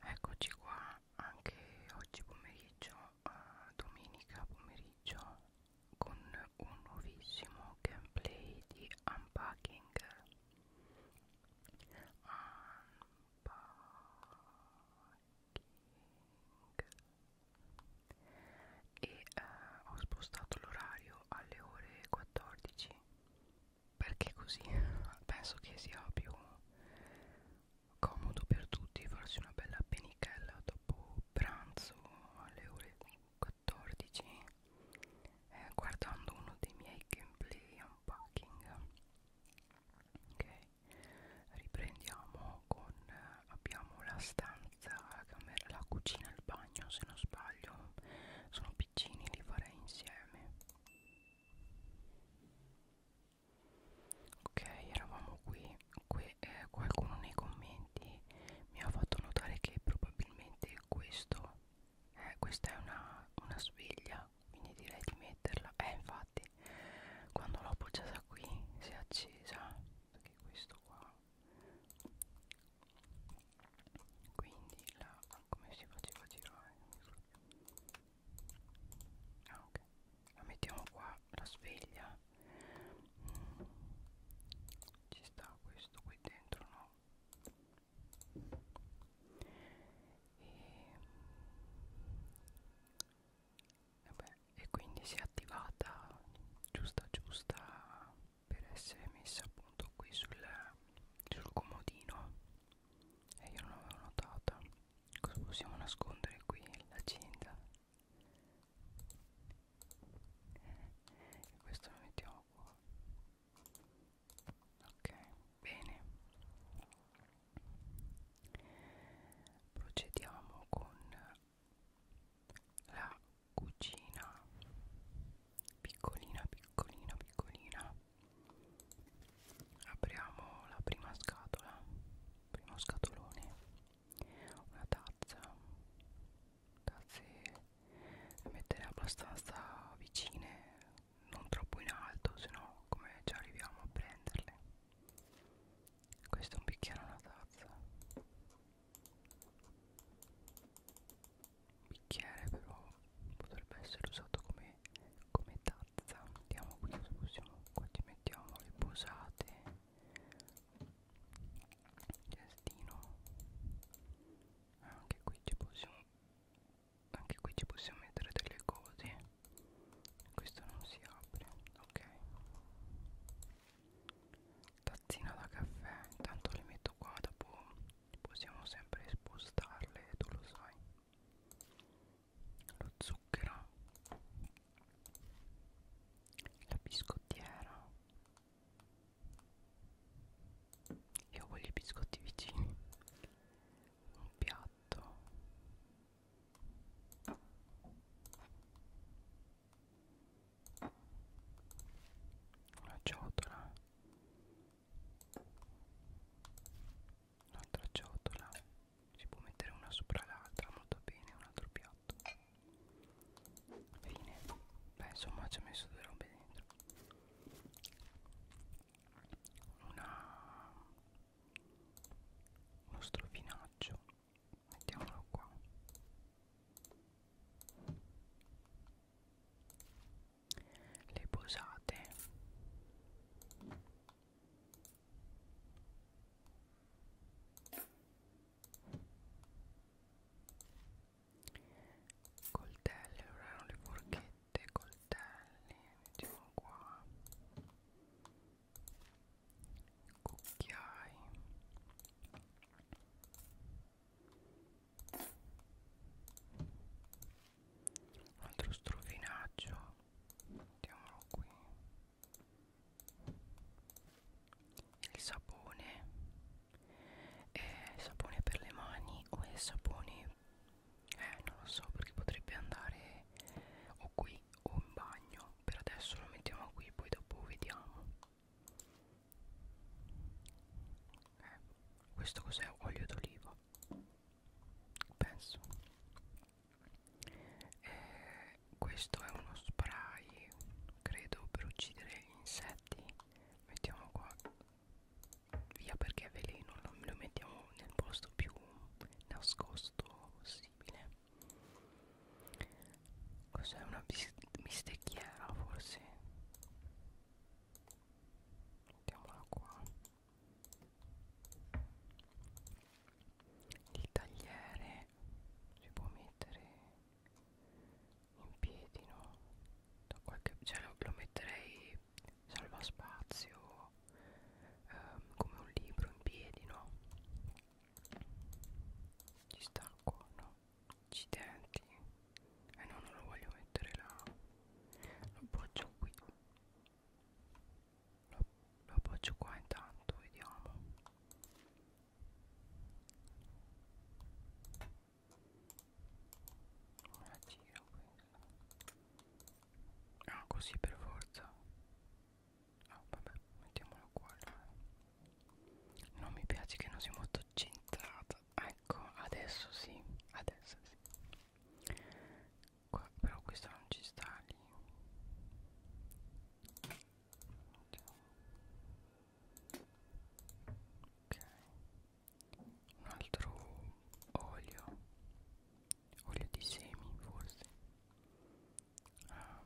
Eccoci qua anche oggi pomeriggio, eh, domenica pomeriggio, con un nuovissimo gameplay di unpacking. Unpacking e eh, ho spostato l'orario alle ore 14 perché così penso che sia più comodo per tutti farsi una bella penichella dopo pranzo alle ore 14 eh, guardando uno dei miei gameplay unpacking ok riprendiamo con eh, abbiamo la stanza, la camera, la cucina e il bagno se non sbaglio sono piccini, li farei insieme ok, eravamo qui, qui eh, qualcuno nei commenti mi ha fatto notare che probabilmente questo eh, questa è una, una sveglia quindi direi di metterla eh infatti quando l'ho appoggiata qui si è accesa che è questo qua quindi la come si faceva girare ah, ok la mettiamo qua la sveglia mm. ci sta questo qui dentro no e e, beh, e quindi si è attivata giusta giusta per essere messa appunto qui sul, sul comodino e io non l'avevo notata cosa possiamo nascondere qui l'agenda e eh, questo lo mettiamo qua ok bene procediamo con la cucina piccolina piccolina piccolina apriamo la prima scatola primo scatolone una tazza tazze da mettere abbastanza vicine non troppo in alto se no come ci arriviamo a prenderle questo è un bicchiere e una tazza Bicchiere però potrebbe essere usato come, come tazza Mettiamo qui, possiamo, qua ci mettiamo le posate Cestino Anche qui ci possiamo anche qui ci possiamo mettere delle cose questo non si apre ok tazzina da caffè intanto le metto qua dopo possiamo sempre spostarle tu lo sai lo zucchero la biscottiera io voglio i biscotti vicini un piatto la ciotola un'altra ciotola si può mettere una sopra l'altra molto bene un altro piatto fine beh insomma ci ho messo due robe dentro una uno strofinaccio mettiamolo qua le posate coltelli allora erano le forchette coltelli mettiamo qua cucchiai un altro strofinaccio mettiamolo qui il sapone è sapone per le mani o è sapone eh non lo so perché potrebbe andare o qui o un bagno per adesso lo mettiamo qui poi dopo vediamo eh, questo cos'è olio d'oliva penso eh, questo è uno spray credo per uccidere gli insetti mettiamo qua via perché è veleno lo mettiamo nel posto più nascosto possibile Cos'è una bistecchiera forse? Mettiamola qua Il tagliere si può mettere in piedi no? Da qualche, cioè lo, lo metterei salva spazio ehm, come un libro in piedi no? Ci sta qua, no? Accidenti. Eh no, non lo voglio mettere là. Lo appoggio qui. Lo, lo appoggio qua intanto, vediamo. Ora giro questa. Ah, così per forza. Ah vabbè, mettiamolo qua eh. Non mi piace che non sia molto centrata Ecco, adesso sì, adesso sì qua, Però questa non ci sta lì Ok Un altro olio Olio di semi forse uh,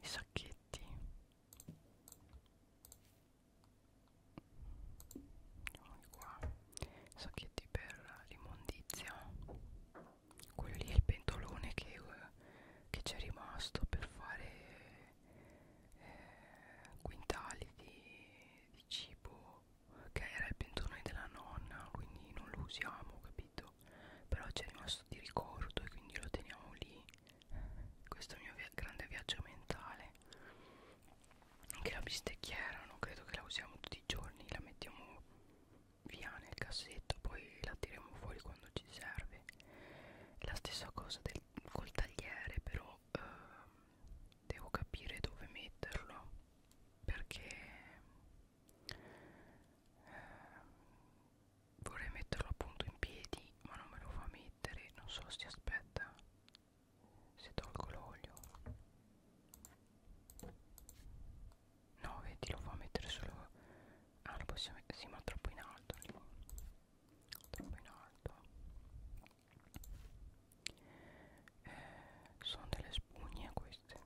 i sacchetti qua i sacchetti per l'immondizia quello lì è il pentolone che uh, c'è rimasto per fare eh, quintali di, di cibo che era il pentolone della nonna quindi non lo usiamo capito sapevo però c'è rimasto di ricordo e quindi lo teniamo lì questo mio via grande viaggio mentale anche la bistecchiera non credo che la usiamo tutti i giorni la mettiamo via nel cassetto poi la tiriamo fuori quando ci serve la stessa cosa del, col tagliere però eh, devo capire dove metterlo perché eh, vorrei metterlo appunto in piedi ma non me lo fa mettere non so si aspetta se tolgo l'olio no vedi lo fa mettere solo ah lo possiamo mettere sì ma troppo in alto troppo in alto eh, sono delle spugne queste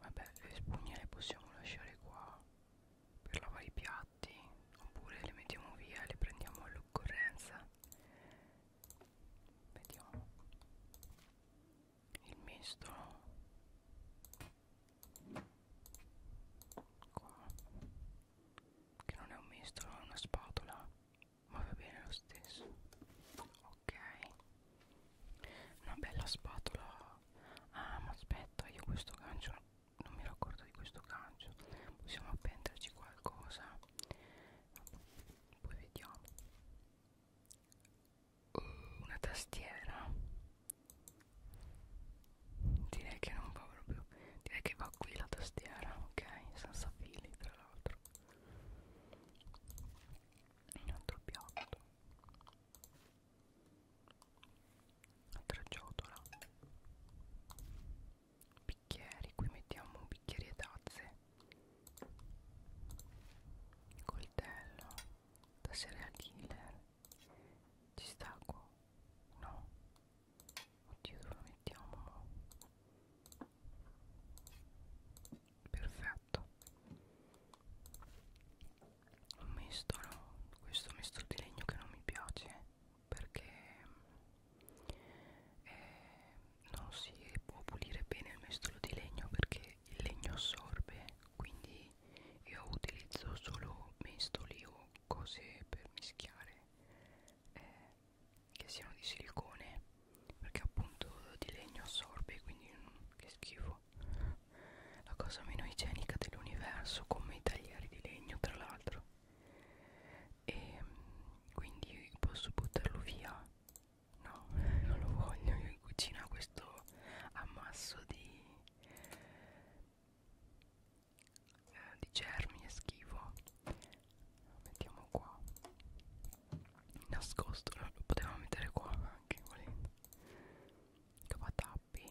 Vabbè, le spugne le possiamo lasciare qua per lavare i piatti, oppure le mettiamo via e le prendiamo all'occorrenza. Vediamo. Il mestolo. Qua. Che non è un mestolo, è una spatola, ma va bene lo stesso. Ok una bella spatola ah ma aspetta io questo gancio non mi ero accorto di questo gancio possiamo appenderci qualcosa poi vediamo uh, una tastiera direi che non va proprio direi che va qui la tastiera ok senza fili tra l'altro un altro piatto altra ciotola bicchieri qui mettiamo bicchieri e tazze coltello da serial killer ci sta qua no oddio dove lo mettiamo perfetto gatto un misto no questo misto di legno che non mi piace perché eh, non si può pulire bene il mestolo di legno perché il legno assorbe quindi io utilizzo solo mestoli o cose per mischiare eh, che siano di silicone perché appunto di legno assorbe quindi mm, che schifo legno la cosa meno igienica dell'universo come i taglieri di legno tra l'altro e quindi posso buttarlo via no non lo voglio io in cucina questo ammasso di eh, di germi è schifo lo mettiamo qua nascosto lo potevamo mettere qua anche volendo cavatappi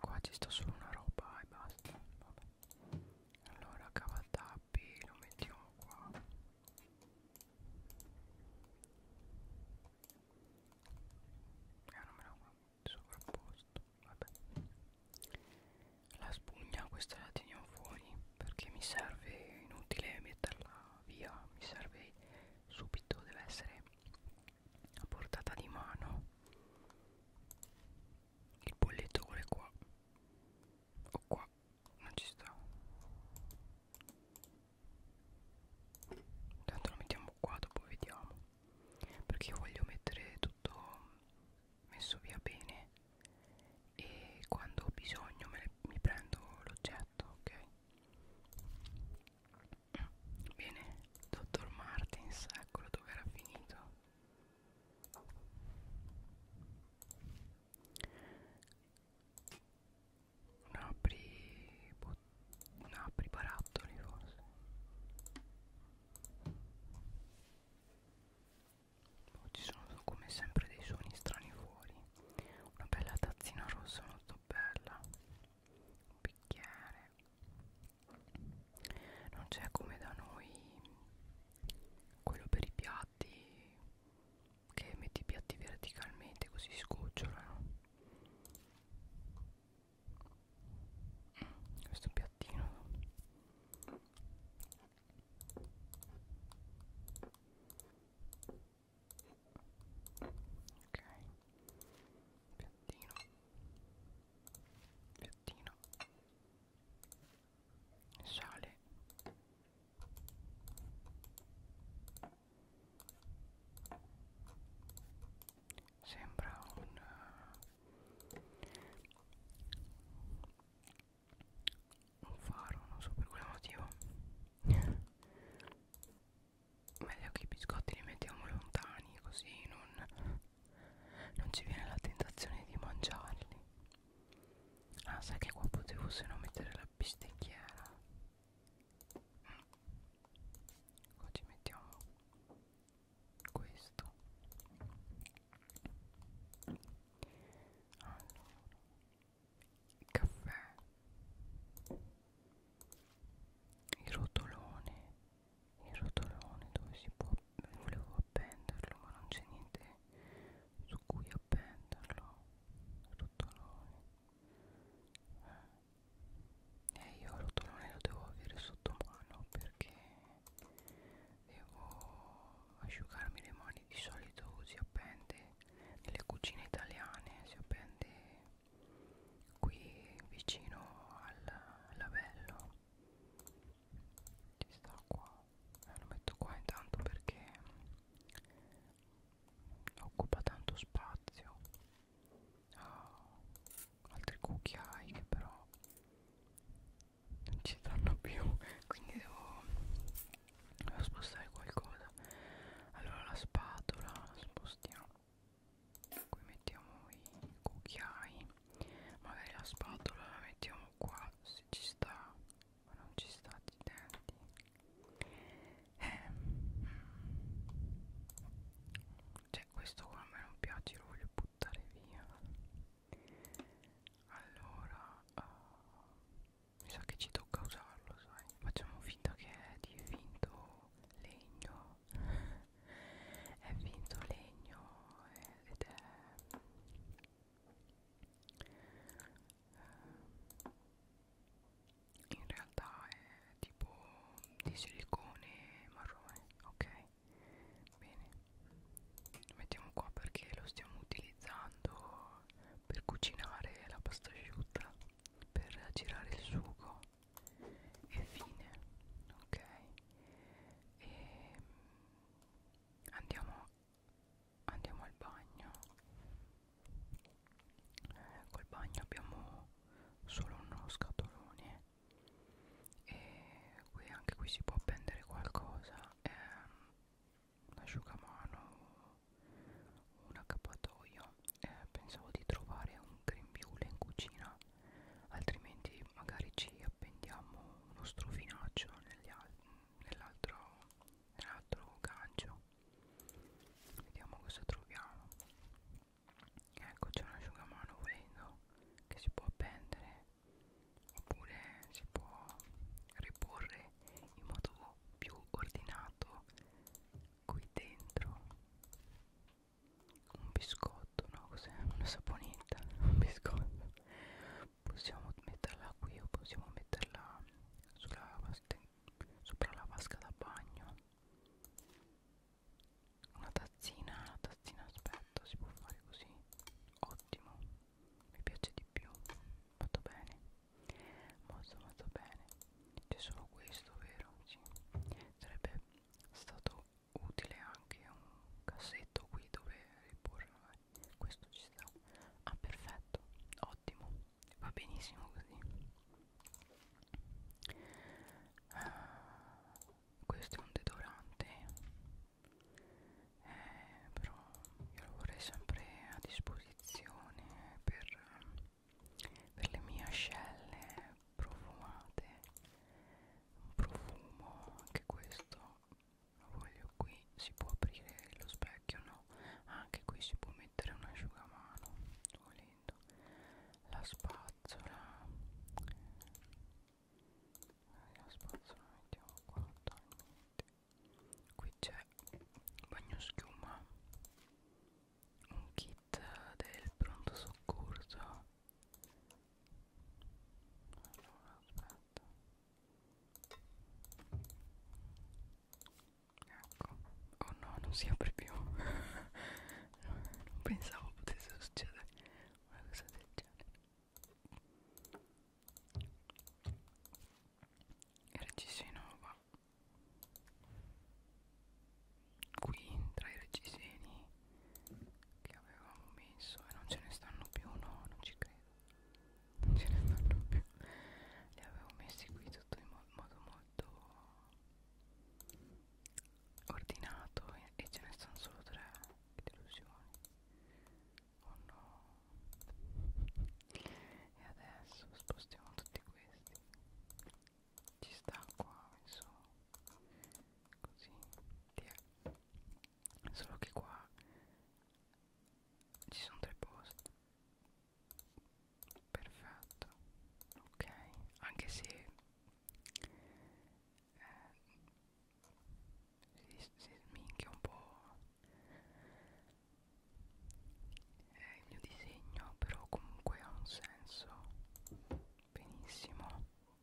qua ci sta solo una roba eh, e basta Vabbè. allora cavatappi lo mettiamo qua eh, non me lo sovrapposto Vabbè. la spugna questa la teniamo teniamo fuori perché mi serve inutile metterla via mi serve subito deve essere a portata di mano il bolletto vuole qua o oh, qua non ci sta tanto lo mettiamo qua dopo vediamo perché io voglio mettere tutto messo via bene e quando ho bisogno me ne, mi prendo l'oggetto ok bene dottor martins eccolo dove era finito un apri un apri barattoli forse Oggi sono come sempre dei suoni strani fuori. Una bella tazzina rossa molto bella. Un bicchiere. Non c'è come da noi quello per i piatti che metti i piatti verticalmente così scocciolano. Mm, questo piattino ok piattino piattino sale sembra un un faro non so per quale motivo meglio che i biscotti li mettiamo lontani così non, non ci viene la tentazione di mangiarli ah sai che qua potevo se no mettere la bistecchiera mm. qua ci mettiamo questo allora caffè il rotolone il rotolone dove si può volevo appenderlo ma non c'è niente su cui appenderlo il rotolone e eh. eh, io il rotolone lo devo avere sotto mano perché devo asciugarmi le mani di solito così appende nelle cucine italiane si appende qui vicino al lavello ci sta qua eh, lo metto qua intanto perché occupa tanto spazio oh, altri cucchiai che però non ci stanno più quindi devo devo spostare qualcosa allora la spatola la spostiamo qui mettiamo i cucchiai magari la spatola la mettiamo qua se ci sta ma non ci sta di denti eh. cioè questo qua a me non piace lo voglio buttare via allora uh, mi sa che ci tocca usarlo, sai. Facciamo finta che è di finto legno. è finto legno eh, ed è eh, in realtà è tipo di silicone marrone ok bene lo mettiamo qua perché lo stiamo utilizzando per cucinare la pasta asciutta per girare il sugo e fine ok e andiamo andiamo al bagno eh, col bagno abbiamo solo uno scatolone e qui anche qui si può appendere qualcosa eh, un asciugamano, un accappatoio eh, pensavo di trovare un grembiule in cucina altrimenti magari ci appendiamo uno strofinaccio nell'altro nell gancio vediamo cosa troviamo ecco c'è un asciugamano volendo che si può appendere oppure si può riporre fare in modo più ordinato qui dentro un biscotto no cos'è una saponetta un biscotto possiamo metterla qui o possiamo metterla sulla sopra la vasca da bagno una tazzina una tazzina aspetta si può fare così ottimo mi piace di più fatto bene molto molto bene c'è solo questo vero? Sì. sarebbe stato utile anche un cassetto qui dove riporre questo ci sta ah perfetto ottimo va benissimo così ah, questo è un deodorante eh, però io lo vorrei sempre a disposizione per, per le mie ascelle profumate un profumo anche questo lo voglio qui si può aprire lo specchio no anche qui si può mettere un asciugamano volendo la spazzola eh, la spazzola la mettiamo qua totalmente qui c'è bagno schiuma un kit del pronto soccorso allora aspetta ecco oh no non si apre più non pensavo potesse succedere una cosa del genere RCC Nova qui tra i reggiseni che avevamo messo e non ce ne stanno più no non ci credo non ce ne stanno più li avevo messi qui tutto in mo modo molto ordinato e, e ce ne stanno solo tre che delusione Oh no. E adesso spostiamo tutti questi. Ci sta qua, messo così. Via. Solo che qua ci sono tre posti. Perfetto. Ok, anche se eh, si, si sminchia un po' è il mio disegno però comunque ha un senso benissimo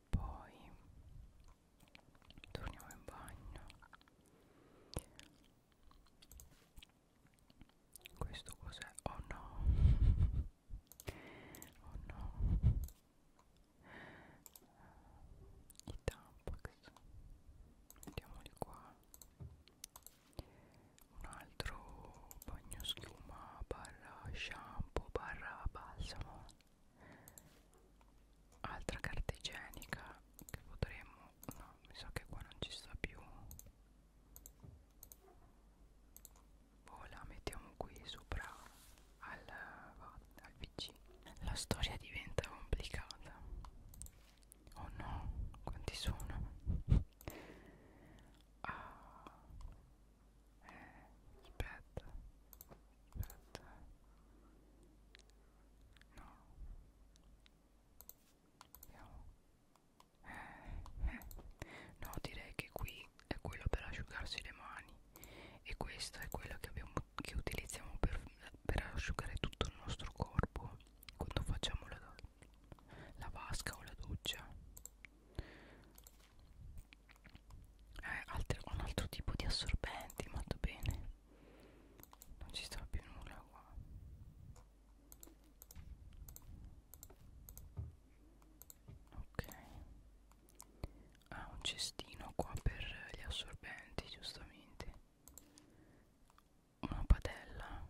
poi torniamo in bagno questo cos'è? oh no oh no i tamponi mettiamoli qua un altro bagno schiuma barra shampoo barra balsamo altra carta igienica che potremmo no mi sa che qua non ci sta più poi boh, la mettiamo qui sopra al, al pc la storia diventa complicata Oh no, quanti sono? Ah, eh, aspetta, aspetta. No. Vediamo. Eh, eh. No, direi che qui è quello per asciugarsi le mani e questo è quello che, abbiamo, che utilizziamo per per asciugare tutto il nostro corpo quando facciamo la, la vasca o la doccia eh, altro, un altro tipo di assorbenti molto bene non ci sta più nulla qua ok ah un cestino qua per gli assorbenti giustamente una padella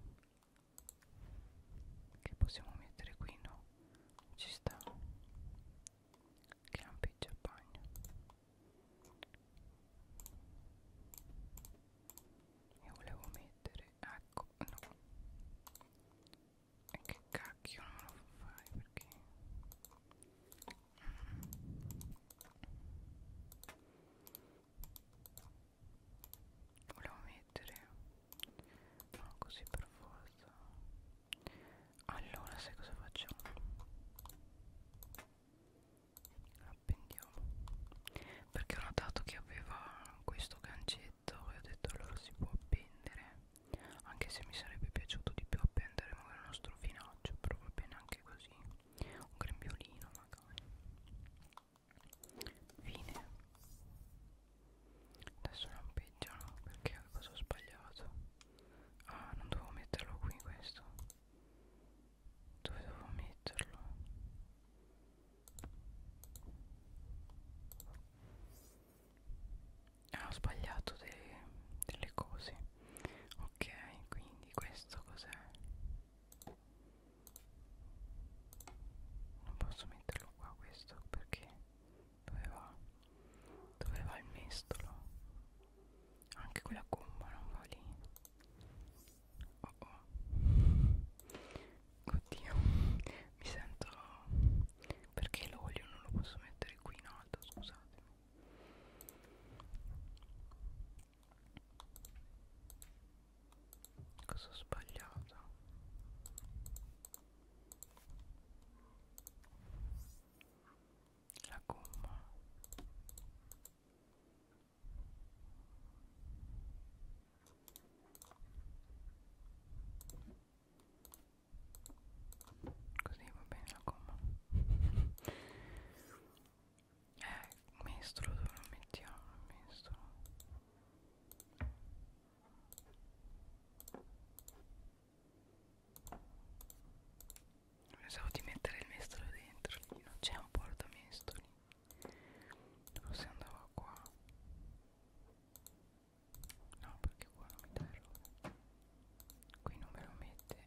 che possiamo mettere qui no ci sta che lampeggia il bagno io volevo mettere ecco no e che cacchio non lo fai perché mm volevo mettere no così per forza allora sai cosa facciamo appendiamo perché ho notato che aveva questo gancetto e ho detto allora si può appendere anche se mi sarebbe piaciuto di più appendere magari uno strofinaccio però va bene anche così un grembiolino magari fine adesso lampeggiano perché cosa ho sbagliato ah non dovevo metterlo qui questo dove dovevo metterlo ah ho sbagliato de delle cose ok quindi questo cos'è non posso metterlo qua questo perché dove va? dove va il mestolo? anche quella gomma non va lì oh oh oddio mi sento perché l'olio non lo posso mettere qui in alto scusatemi Cosa ho sbagliato? La gomma Così va bene la gomma eh, mestolo dove lo mettiamo? Mestolo Pensavo di mettere il mestolo dentro lì, non c'è un portamestoli Forse andava qua No, perché qua non mi dà errore Qui non me lo mette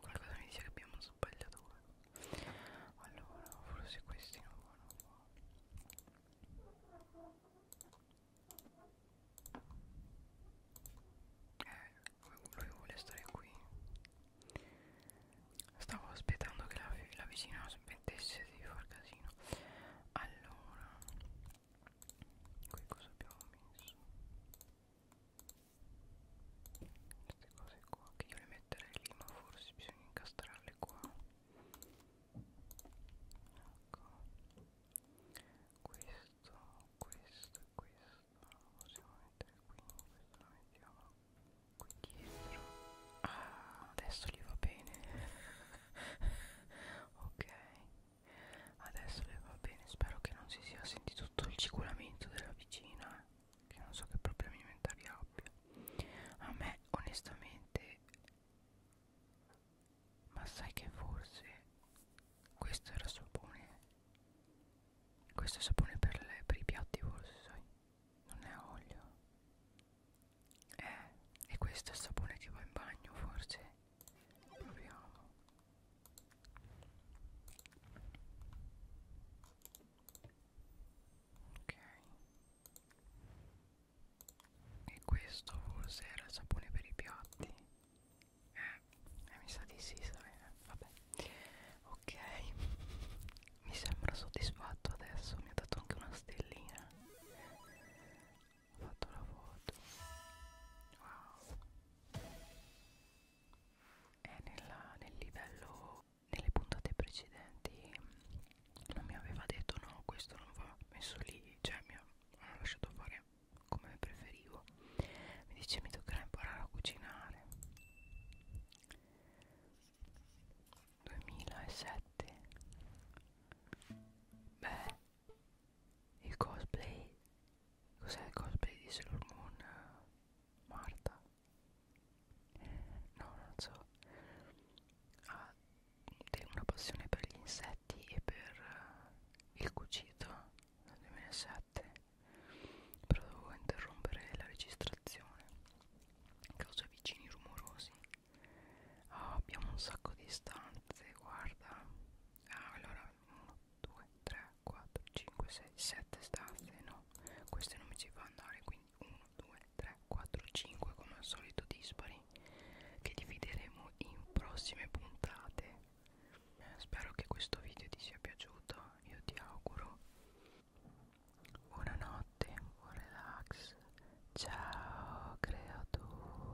Qualcosa mi dice che abbiamo sbagliato qua. Allora, forse questi non vanno qua. Eh, lui vuole stare qui. Stavo aspettando che la, la vicina smettesse di far casino. Allora, qui cosa abbiamo messo? queste cose qua che io le metterei lì ma forse bisogna incastrarle qua ecco questo questo e questo lo possiamo mettere qui questo lo mettiamo qui dietro ah adesso gli va bene ok Adesso le va bene, spero che non si sia sentito tutto il ciculamento della vicina, eh, che non so che problemi alimentari abbia. A me onestamente, ma sai che forse questo era sapone, questo è sapone per, le, per i piatti forse, sai, non è olio. Eh, e questo è il sapone che va in bagno forse proviamo ok e questo forse era il sapone per i piatti eh, eh mi sa di sì sai eh, vabbè ok mi sembra soddisfatto adesso mi ha dato anche una stellina ho fatto la foto wow e nella, nel livello nelle puntate precedenti non mi aveva detto no questo non va messo lì cioè mi ha lasciato fare come preferivo mi dice mi toccherà imparare a cucinare 2007 beh il cosplay Cos'è il cosplay di Sailor Moon? Marta? No, non so. Ha una passione per gli insetti e per uh, il cucito nel 2007. Però dovevo interrompere la registrazione a causa vicini rumorosi. Oh, abbiamo un sacco di stanze, guarda. Ah, allora 1, 2, 3, 4, 5, 6, 7 staffe no, queste non mi ci fa andare quindi 1, 2, 3, 4, 5 come al solito dispari che divideremo in prossime puntate eh, spero che questo video ti sia piaciuto io ti auguro buonanotte buon relax ciao creatura